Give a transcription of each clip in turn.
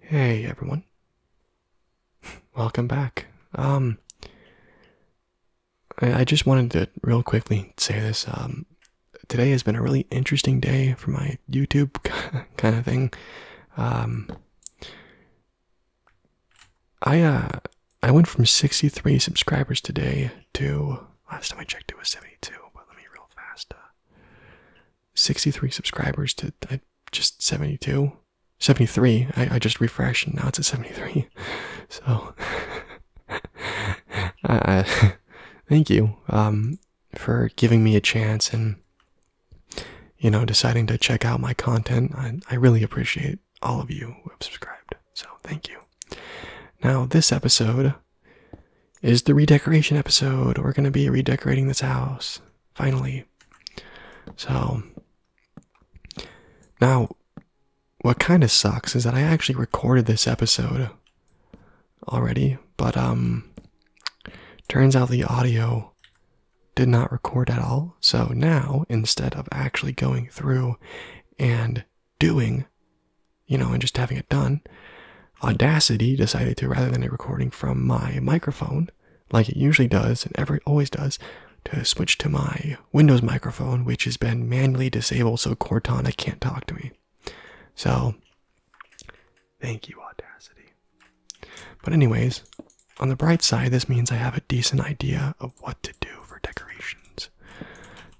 Hey everyone. Welcome back. Um I, just wanted to real quickly say this. Um today has been a really interesting day for my YouTube kind of thing. Um I uh I went from 63 subscribers today Two. last time I checked it was 72, but let me real fast. Uh, 63 subscribers to just 72, 73. I, just refreshed and now it's at 73. So, uh, thank you um, for giving me a chance and you know deciding to check out my content. I, I really appreciate all of you who have subscribed. So, thank you. Now, this episode is the redecoration episode. We're going to be redecorating this house, finally. So, now, what kind of sucks is that I actually recorded this episode already, but, um, turns out the audio did not record at all. So now, instead of actually going through and doing, you know, and just having it done, Audacity decided to, rather than a recording from my microphone, like it usually does and ever always does, to switch to my Windows microphone, which has been manually disabled so Cortana can't talk to me. So, thank you, Audacity. But, anyways, on the bright side, this means I have a decent idea of what to do for decorations.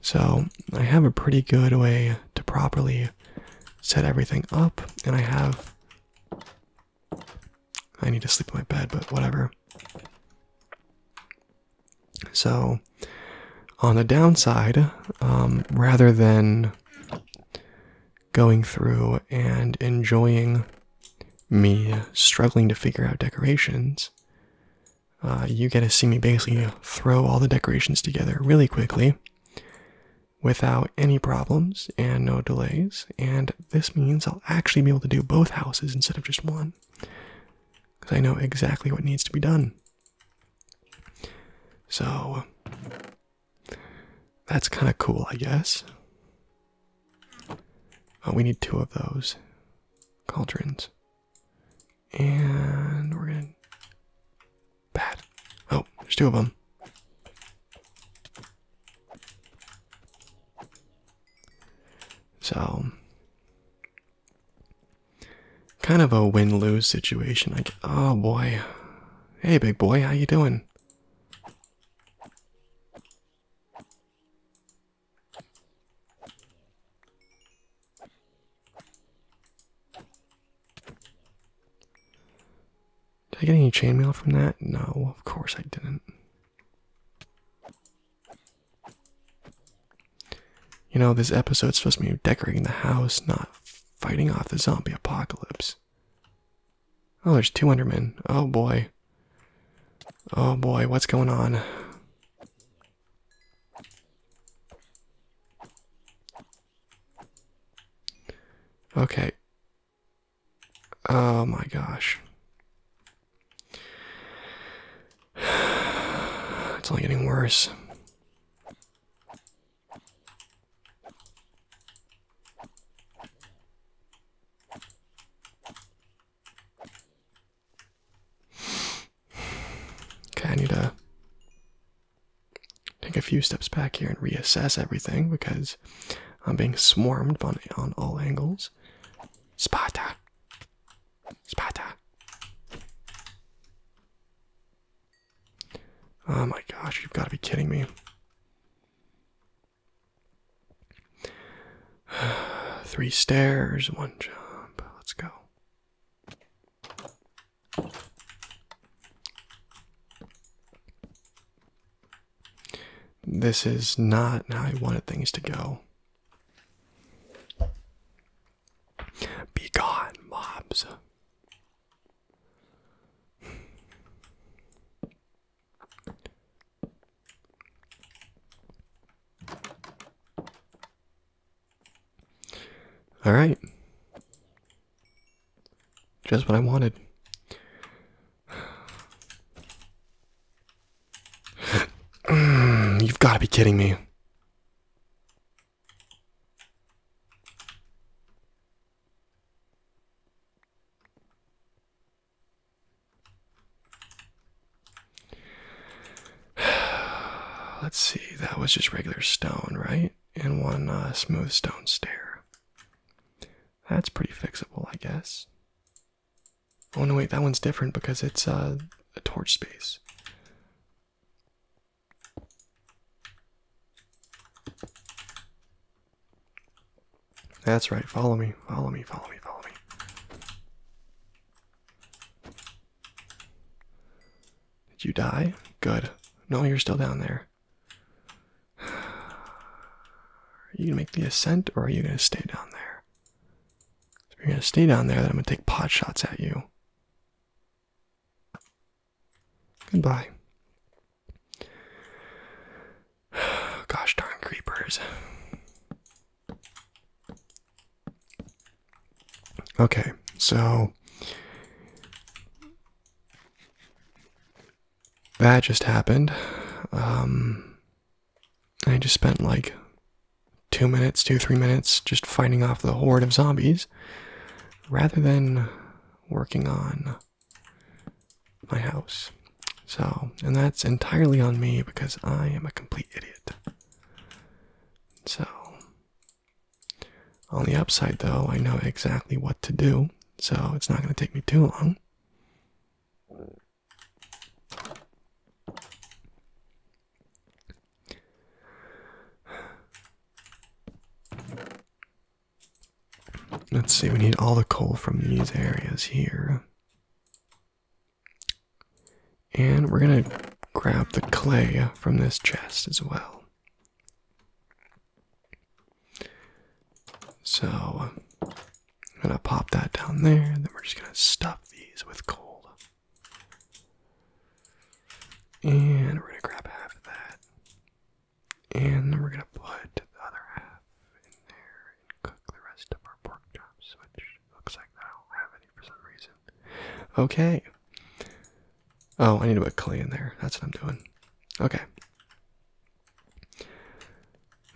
So I have a pretty good way to properly set everything up, and I have. I need to sleep in my bed, but whatever. So, on the downside, um, rather than going through and enjoying me struggling to figure out decorations, uh, you get to see me basically throw all the decorations together really quickly without any problems and no delays. And this means I'll actually be able to do both houses instead of just one because I know exactly what needs to be done. So that's kind of cool, I guess. Oh, we need two of those cauldrons. And we're gonna bad. Oh, there's two of them. So, kind of a win-lose situation. Like, oh boy, hey big boy, how you doing? Did I get any chainmail from that? No, of course I didn't. You know, this episode's supposed to be decorating the house, not fighting off the zombie apocalypse. Oh, there's two Endermen. Oh boy. Oh boy, what's going on? Okay. Oh my gosh. It's only getting worse. Okay, I need to take a few steps back here and reassess everything because I'm being swarmed on, on all angles. Sparta! Sparta! Oh my gosh, you've got to be kidding me. Three stairs, one jump. Let's go. This is not how I wanted things to go. Be mobs. All right. Just what I wanted. You've got to be kidding me. Let's see, that was just regular stone, right? And one uh, smooth stone stair. That's pretty fixable, I guess. Oh no, wait, that one's different because it's uh, a torch space. That's right, follow me, follow me, follow me, follow me. Did you die? Good. No, you're still down there. Are you gonna make the ascent or are you gonna stay down there? If you're gonna stay down there, then I'm gonna take pot shots at you. Goodbye. Gosh darn creepers. Okay, so that just happened. Um, I just spent like two minutes, two, three minutes just fighting off the horde of zombies rather than working on my house. So, and that's entirely on me because I am a complete idiot. So, on the upside though, I know exactly what to do, so it's not going to take me too long. Let's see, we need all the coal from these areas here. And we're going to grab the clay from this chest as well. So I'm going to pop that down there, and then we're just going to stuff these with coal. And we're going to grab half of that. And then we're going to put the other half in there cook the rest of our pork chops, which looks like I don't have any for some reason. Okay. Oh, I need to put clay in there. That's what I'm doing. Okay.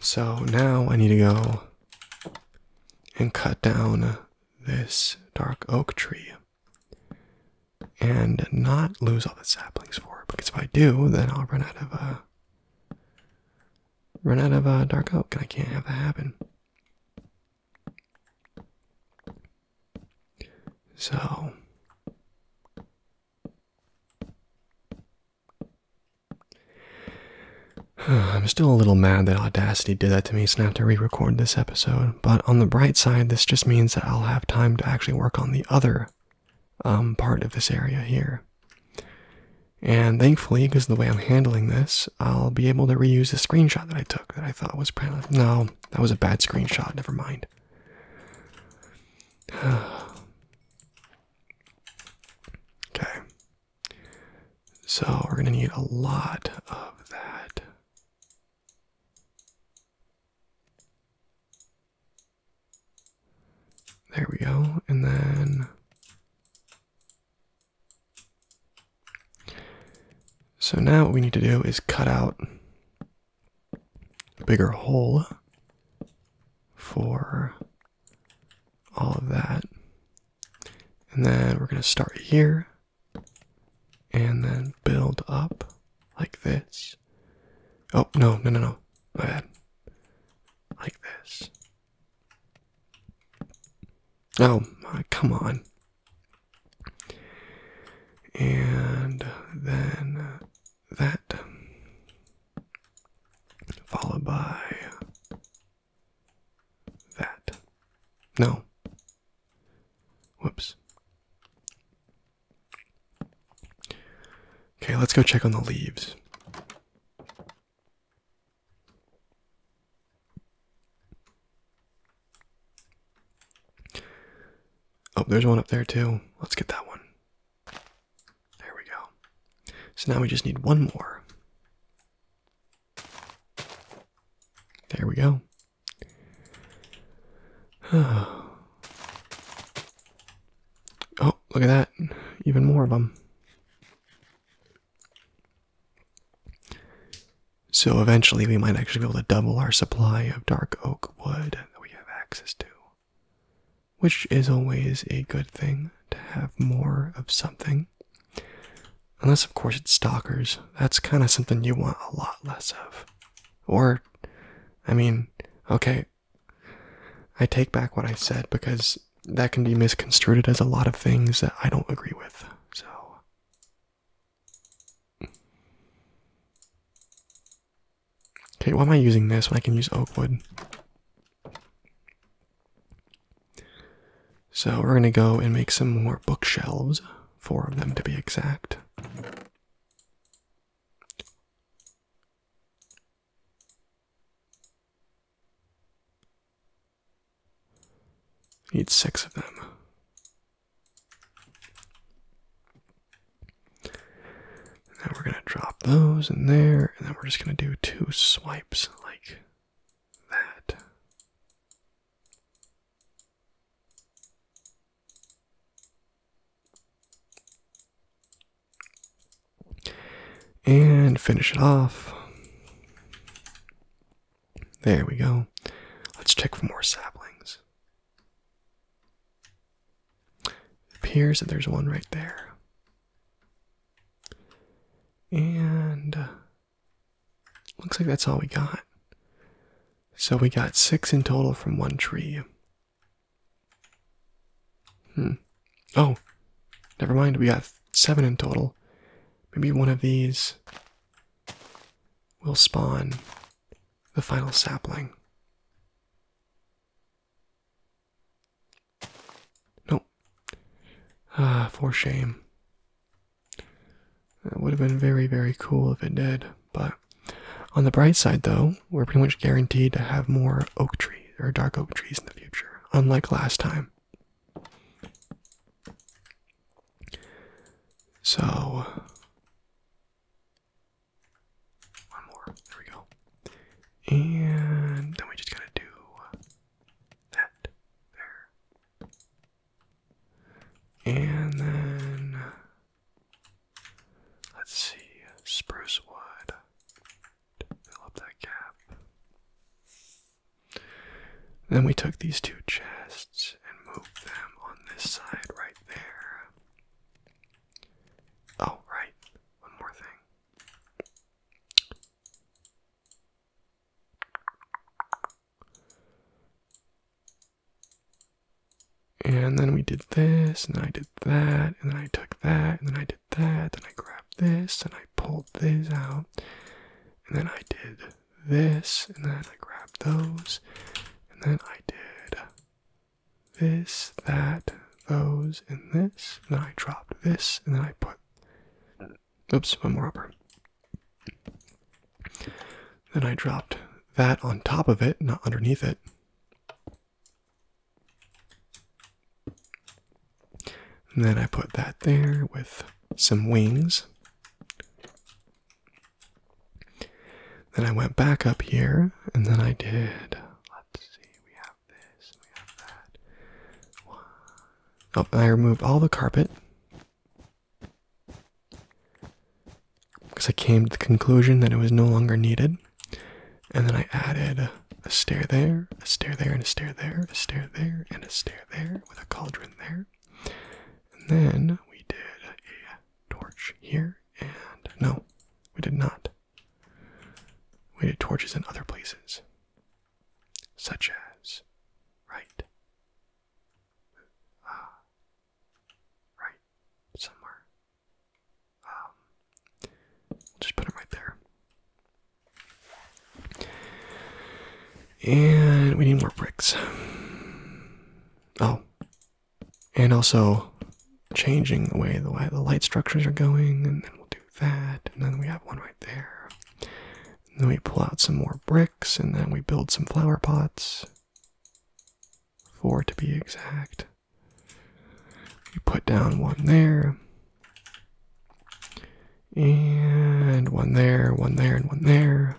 So now I need to go and cut down this dark oak tree and not lose all the saplings for it because if I do, then I'll run out of uh, run out of uh, dark oak, and I can't have that happen. So, I'm still a little mad that Audacity did that to me, so I have to re record this episode. But on the bright side, this just means that I'll have time to actually work on the other um, part of this area here. And thankfully, because the way I'm handling this, I'll be able to reuse the screenshot that I took that I thought was proud. No, that was a bad screenshot. Never mind. okay. So we're going to need a lot of that. There we go. And then so now what we need to do is cut out a bigger hole for all of that. And then we're going to start here and then build up like this. Oh, no, no, no, no. My bad. Like this. Oh, my, come on. And then that, followed by that. No. Whoops. Okay, let's go check on the leaves. Oh, there's one up there too. Let's get that one. There we go. So now we just need one more. There we go. Oh, look at that. Even more of them. So eventually we might actually be able to double our supply of dark oak wood that we have access to. Which is always a good thing to have more of something. Unless, of course, it's stalkers. That's kind of something you want a lot less of. Or, I mean, okay, I take back what I said because that can be misconstrued as a lot of things that I don't agree with. So Okay, why am I using this when I can use oak wood? So we're gonna go and make some more bookshelves, four of them to be exact. Need six of them. Now we're going to drop those in there, and then we're just going to do two swipes like that. And finish it off. There we go. Let's check for more saplings. appears that there's one right there. And uh, looks like that's all we got. So we got six in total from one tree. Hmm. Oh, never mind. We got seven in total. Maybe one of these will spawn the final sapling. Nope. Ah, for shame. It would have been very, very cool if it did, but on the bright side, though, we're pretty much guaranteed to have more oak trees or dark oak trees in the future, unlike last time. So, one more. There we go. And then we just gotta do that there. And then, let's see, spruce wood fill up that gap. Then we took these two chests and moved them on this side right there. Oh, right. One more thing. And then we did this, and I did that, and then I took that, and then I did that, then I grabbed this, and I pulled this out, and then I did this, and then I grabbed those, and then I did this, that, those, and this, and then I dropped this, and then I put oops, one more upper. Then I dropped that on top of it, not underneath it. And then I put that there with some wings. Then I went back up here, and then I did. Let's see, we have this, we have that. Oh, I removed all the carpet because I came to the conclusion that it was no longer needed. And then I added a stair there, a stair there, and a stair there, a stair there, and a stair there with a cauldron there. And then we did a torch here, and no, we did not. We did torches in other places, such as right, ah, right, somewhere, um, just put it right there. And we need more bricks. Oh, and also changing the way the light, the light structures are going, and then we'll do that, and then we have one right there. And then we pull out some more bricks, and then we build some flower pots. Four to be exact. You put down one there, and one there, one there, and one there.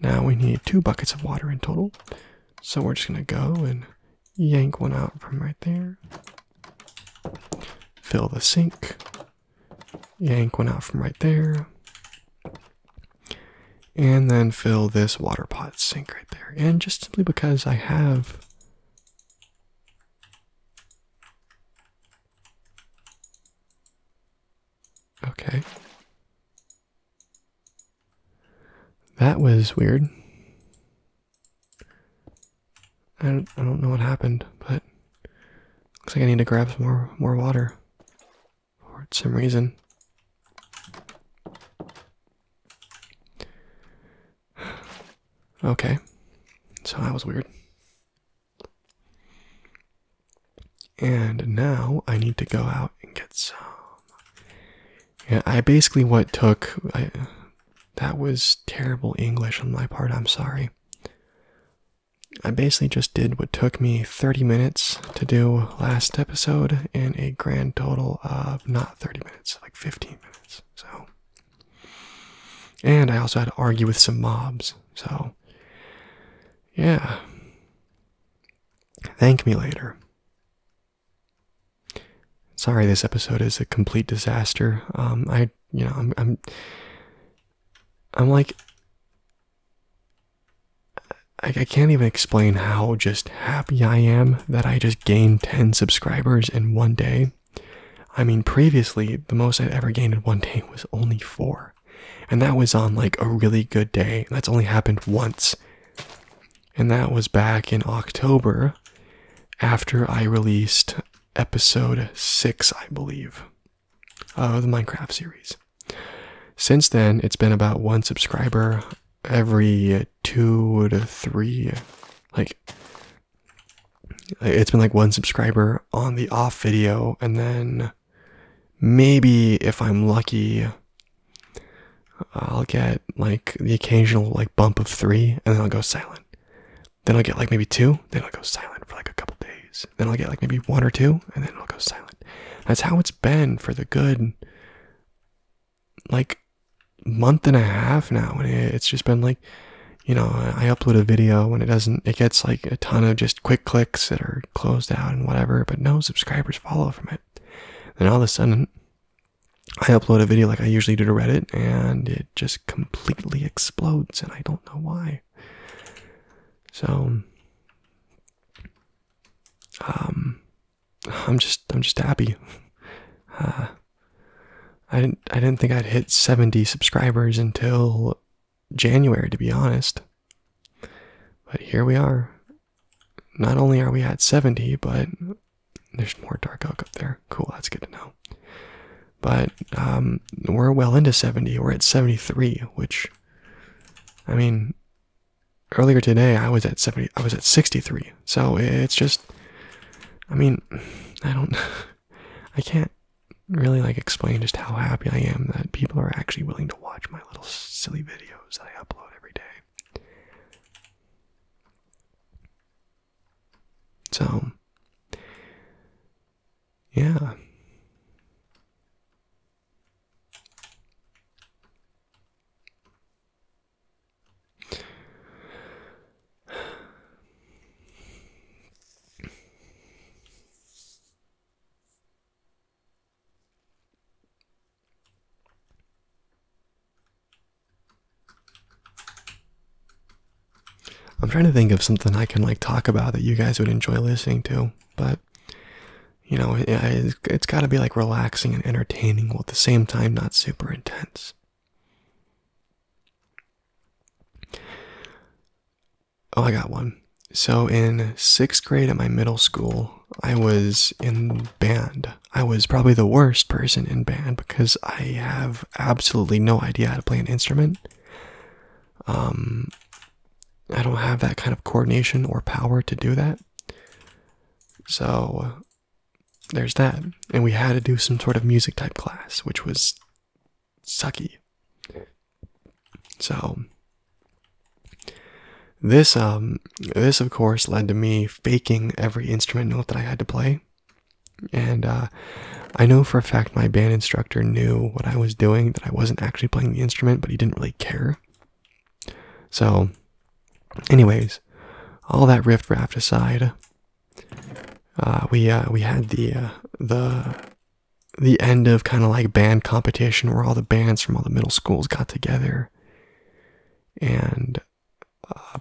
Now we need two buckets of water in total. So we're just going to go and yank one out from right there. Fill the sink. Yank one out from right there. And then fill this water pot sink right there and just simply because I have okay that was weird I don't, I don't know what happened but looks like I need to grab some more more water for some reason Okay, so that was weird. And now I need to go out and get some. Yeah, I basically what took. I, that was terrible English on my part, I'm sorry. I basically just did what took me 30 minutes to do last episode in a grand total of not 30 minutes minutes, like 15 minutes. So, and I also had to argue with some mobs. So, yeah. Thank me later. Sorry, this episode is a complete disaster. Um, I, you know, I'm, I'm like, I, can't even explain how just happy I am that I just gained 10 subscribers in one day. I mean, previously, the most I'd ever gained in one day was only four. And that was on like a really good day. That's only happened once. And that was back in October after I released episode six, I believe, of the Minecraft series. Since then, it's been about one subscriber every two to three like it's been like one subscriber on the off video and then maybe if i'm lucky i'll get like the occasional like bump of three and then i'll go silent then i'll get like maybe two then i'll go silent for like a couple days then i'll get like maybe one or two and then i'll go silent that's how it's been for the good like month and a half now and it's just been like you know i upload a video and it doesn't it gets like a ton of just quick clicks that are closed out and whatever but no subscribers follow from it then all of a sudden i upload a video like i usually do to reddit and it just completely explodes and i don't know why so um I'm just I'm just happy. Uh, I didn't I didn't think I'd hit 70 subscribers until January to be honest. But here we are. Not only are we at 70, but there's more dark elk up there. Cool, that's good to know. But um, we're well into 70. We're at 73, which I mean, Earlier today, I was at 70, I was at 63. So it's just, I mean, I don't, I can't really like explain just how happy I am that people are actually willing to watch my little silly videos that I upload every day. So, yeah. I'm trying to think of something I can like talk about that you guys would enjoy listening to, but you know, it's got to be like relaxing and entertaining while at the same time not super intense. Oh, I got one. So in sixth grade at my middle school, I was in band. I was probably the worst person in band because I have absolutely no idea how to play an instrument. Um, I don't have that kind of coordination or power to do that. So uh, there's that. And we had to do some sort of music type class, which was sucky. So this um this of course led to me faking every instrument note that I had to play. And uh, I know for a fact my band instructor knew what I was doing, that I wasn't actually playing the instrument, but he didn't really care. So, anyways, all that riff raft aside, uh, we uh, we had the uh, the the end of kind of like band competition where all the bands from all the middle schools got together and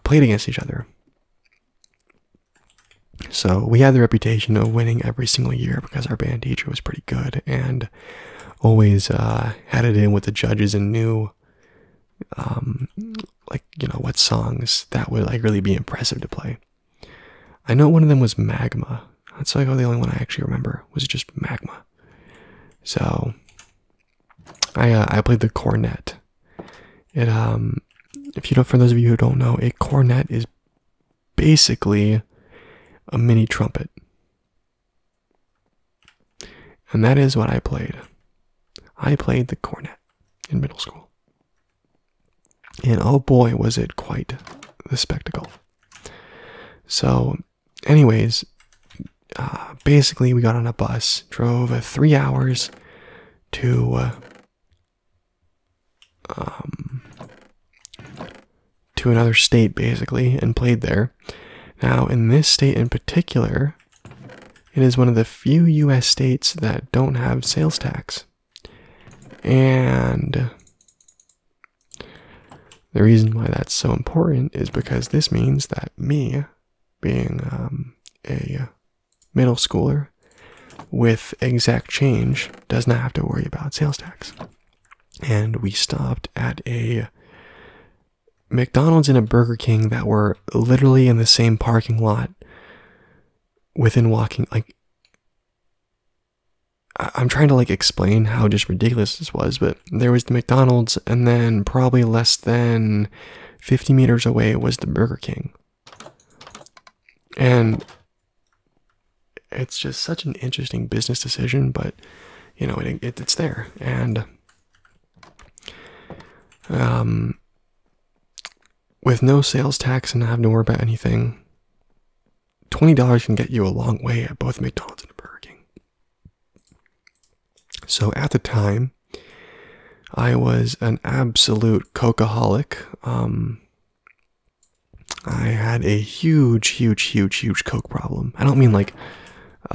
played against each other. So we had the reputation of winning every single year because our band teacher was pretty good and always uh, had it in with the judges and knew, um, like you know, what songs that would like really be impressive to play. I know one of them was Magma. That's like the only one I actually remember was just Magma. So, I uh, I played the cornet. It um, if you don't, for those of you who don't know, a cornet is basically a mini trumpet. And that is what I played. I played the cornet in middle school. And oh boy, was it quite the spectacle. So, anyways, uh, basically, we got on a bus, drove uh, three hours to. Uh, um, to another state basically and played there. Now, in this state in particular, it is one of the few US states that don't have sales tax. And the reason why that's so important is because this means that me, being um, a middle schooler with exact change, does not have to worry about sales tax and we stopped at a McDonald's and a Burger King that were literally in the same parking lot within walking like I'm trying to like explain how just ridiculous this was, but there was the McDonald's and then probably less than 50 meters away was the Burger King. And it's just such an interesting business decision, but you know it's there, and um, with no sales tax and not having to worry about anything, twenty dollars can get you a long way at both McDonald's and Burger King. So at the time, I was an absolute cocaaholic. Um, I had a huge, huge, huge, huge coke problem. I don't mean like,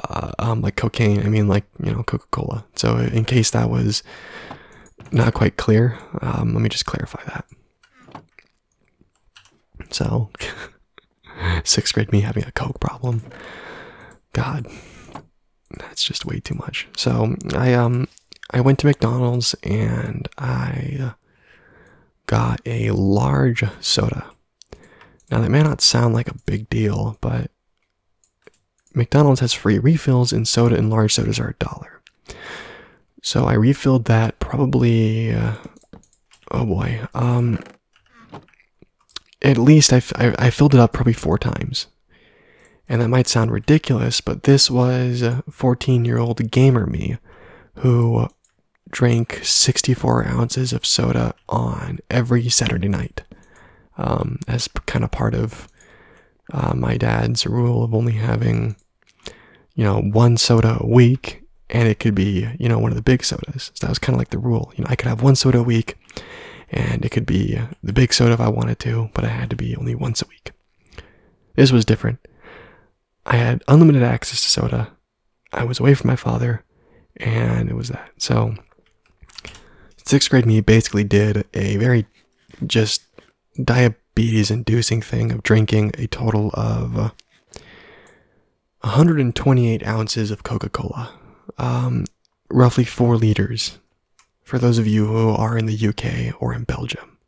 uh, um, like cocaine. I mean like you know Coca Cola. So in case that was not quite clear, um, let me just clarify that. So, sixth grade me having a coke problem. God, that's just way too much. So I um I went to McDonald's and I got a large soda. Now, that may not sound like a big deal, but McDonald's has free refills, and soda and large sodas are a dollar. So I refilled that probably, uh, oh boy, um, at least I, I, I filled it up probably four times. And that might sound ridiculous, but this was uh, 14 year old gamer me who drank 64 ounces of soda on every Saturday night um, as kind of part of uh, my dad's rule of only having, you know, one soda a week. And it could be, you know, one of the big sodas. that was kind of like the rule. You know, I could have one soda a week and it could be the big soda if I wanted to, but I had to be only once a week. This was different. I had unlimited access to soda. I was away from my father, and it was that. So, sixth grade me basically did a very just diabetes inducing thing of drinking a total of 128 uh, ounces of Coca Cola, um, roughly four liters. For those of you who are in the UK or in Belgium,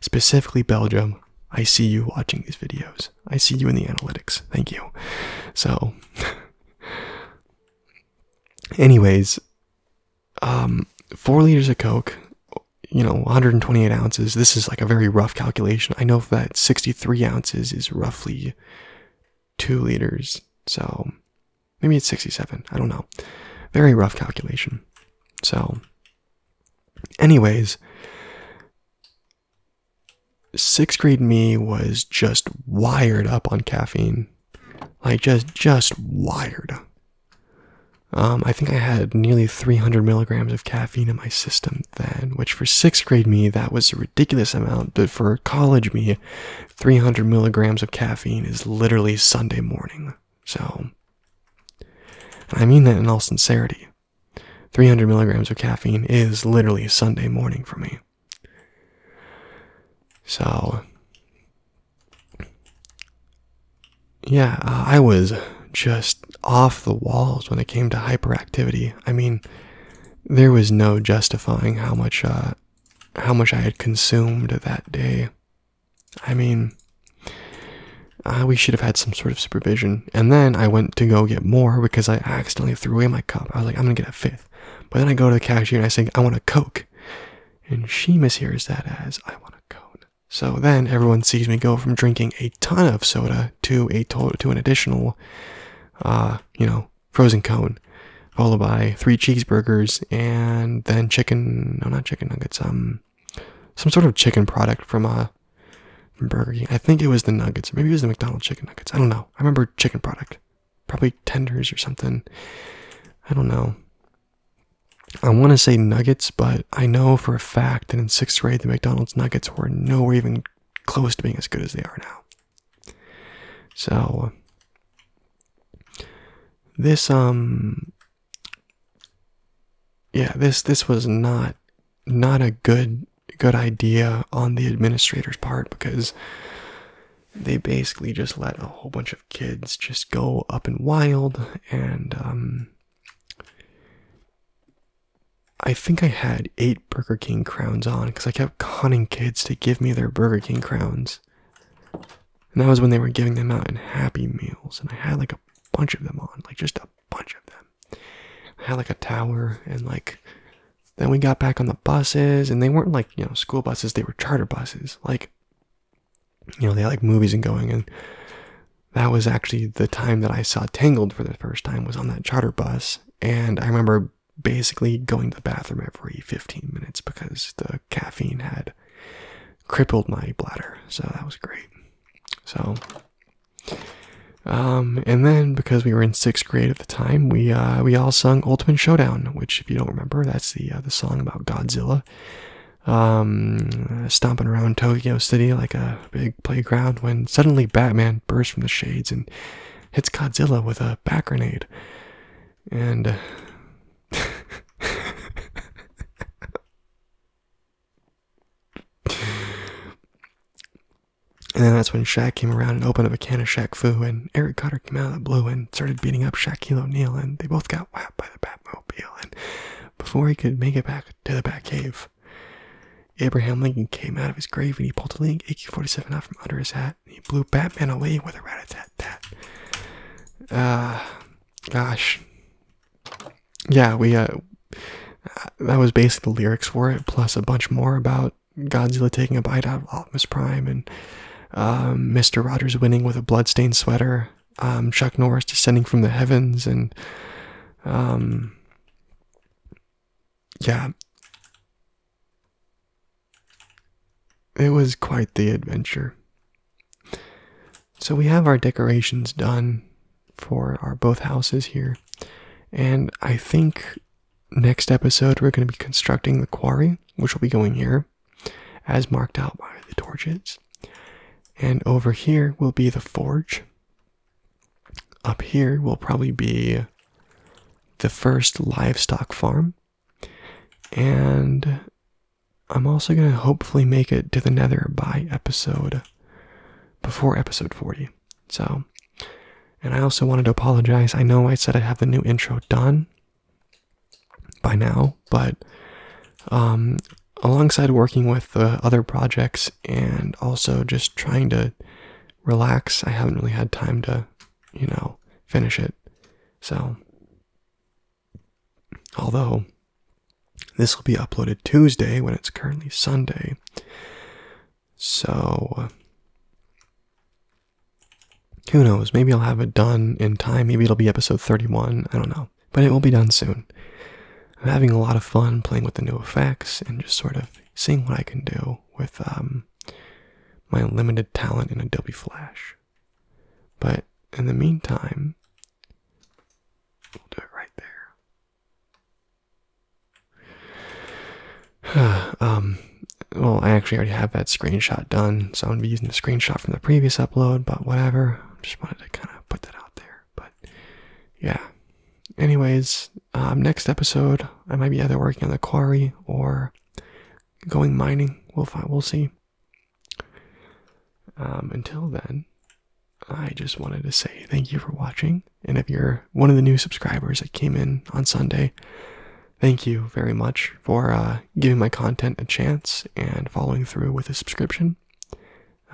specifically Belgium, I see you watching these videos. I see you in the analytics. Thank you. So, anyways, um, four liters of Coke, you know, 128 ounces. This is like a very rough calculation. I know that 63 ounces is roughly two liters. So, maybe it's 67. I don't know. Very rough calculation. So, anyways, Sixth grade me was just wired up on caffeine. Like just just wired. Um, I think I had nearly 300 milligrams of caffeine in my system then, which for sixth grade me, that was a ridiculous amount. But for college me, 300 milligrams of caffeine is literally Sunday morning. So, I mean that in all sincerity. 300 milligrams of caffeine is literally Sunday morning for me. So, yeah, uh, I was just off the walls when it came to hyperactivity. I mean, there was no justifying how much, uh, how much I had consumed that day. I mean, Ah, we should have had some sort of supervision. And then I went to go get more because I accidentally threw away my cup. I was like, I'm gonna get a fifth. But then I go to the cashier and I say, I want a Coke. And she mishears that as, I want a cone. So then everyone sees me go from drinking a ton of soda to a to an additional, uh, you know, frozen cone, followed by three cheeseburgers and then chicken, no, not chicken nuggets, um, some sort of chicken product from a uh, from Burger King. I think it was the nuggets, maybe it was the McDonald's chicken nuggets. I don't know. I remember chicken product, probably tenders or something. I don't know. I want to say nuggets, but I know for a fact that in sixth grade the McDonald's nuggets were nowhere even close to being as good as they are now. So this um yeah this this was not not a good good idea on the administrator's part because they basically just let a whole bunch of kids just go up and wild and um I think I had eight Burger King crowns on because I kept conning kids to give me their Burger King crowns. And that was when they were giving them out in Happy Meals, and I had like a bunch of them on, like just a bunch of them. I had like a tower and like then we got back on the buses and they weren't like, you know, school buses, they were charter buses. Like you know, they had like movies and going and that was actually the time that I saw Tangled for the first time was on that charter bus and I remember basically going to the bathroom every 15 minutes because the caffeine had crippled my bladder. So that was great. So um, and then because we were in sixth grade at the time, we uh, we all sung Ultimate Showdown, which if you don't remember, that's the uh, the song about Godzilla um, stomping around Tokyo City like a big playground. When suddenly Batman bursts from the shades and hits Godzilla with a back grenade, and. And then that's when Shaq came around and opened up a can of Shaq Fu, and Eric Cotter came out of the blue and started beating up Shaquille O'Neal, and they both got whacked by the Batmobile. And before he could make it back to the Batcave, Abraham Lincoln came out of his grave and he pulled a Link AK-47 out from under his hat. And he blew Batman away with a rat-a-tat-tat. Ah, gosh, yeah, we uh, that was basically the lyrics for it, plus a bunch more about Godzilla taking a bite out of Optimus Prime and Mr. Um, Rogers winning with a bloodstained sweater, um, Chuck Norris descending from the heavens, and um, yeah, it was quite the adventure. So we have our decorations done for our both houses here. And I think next episode we're going to be constructing the quarry, which will be going here, as marked out by the torches. And over here will be the forge. Up here will probably be the first livestock farm. And I'm also going to hopefully make it to the nether by episode before episode 40. So, and I also wanted to apologize. I know I said I have the new intro done by now, but um, alongside working with the other projects and also just trying to relax, I haven't really had time to, you know, finish it. So, Although this will be uploaded Tuesday when it's currently Sunday. So who knows? Maybe I'll have it done in time. Maybe it'll be episode 31. I don't know. But it will be done soon. I'm having a lot of fun playing with the new effects and just sort of seeing what I can do with um, my limited talent in Adobe Flash. But in the meantime, We'll do it right there. um, well, I actually already have that screenshot done, so I'm gonna be using the screenshot from the previous upload, but whatever. Just wanted to kind of put that out there, but yeah. Anyways, um, next episode I might be either working on the quarry or going mining. We'll find. We'll see. Um, until then, I just wanted to say thank you for watching. And if you're one of the new subscribers that came in on Sunday, thank you very much for uh, giving my content a chance and following through with a subscription.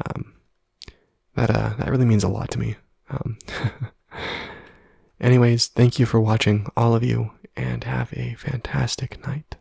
Um, that uh, that really means a lot to me. Um, anyways, thank you for watching, all of you, and have a fantastic night.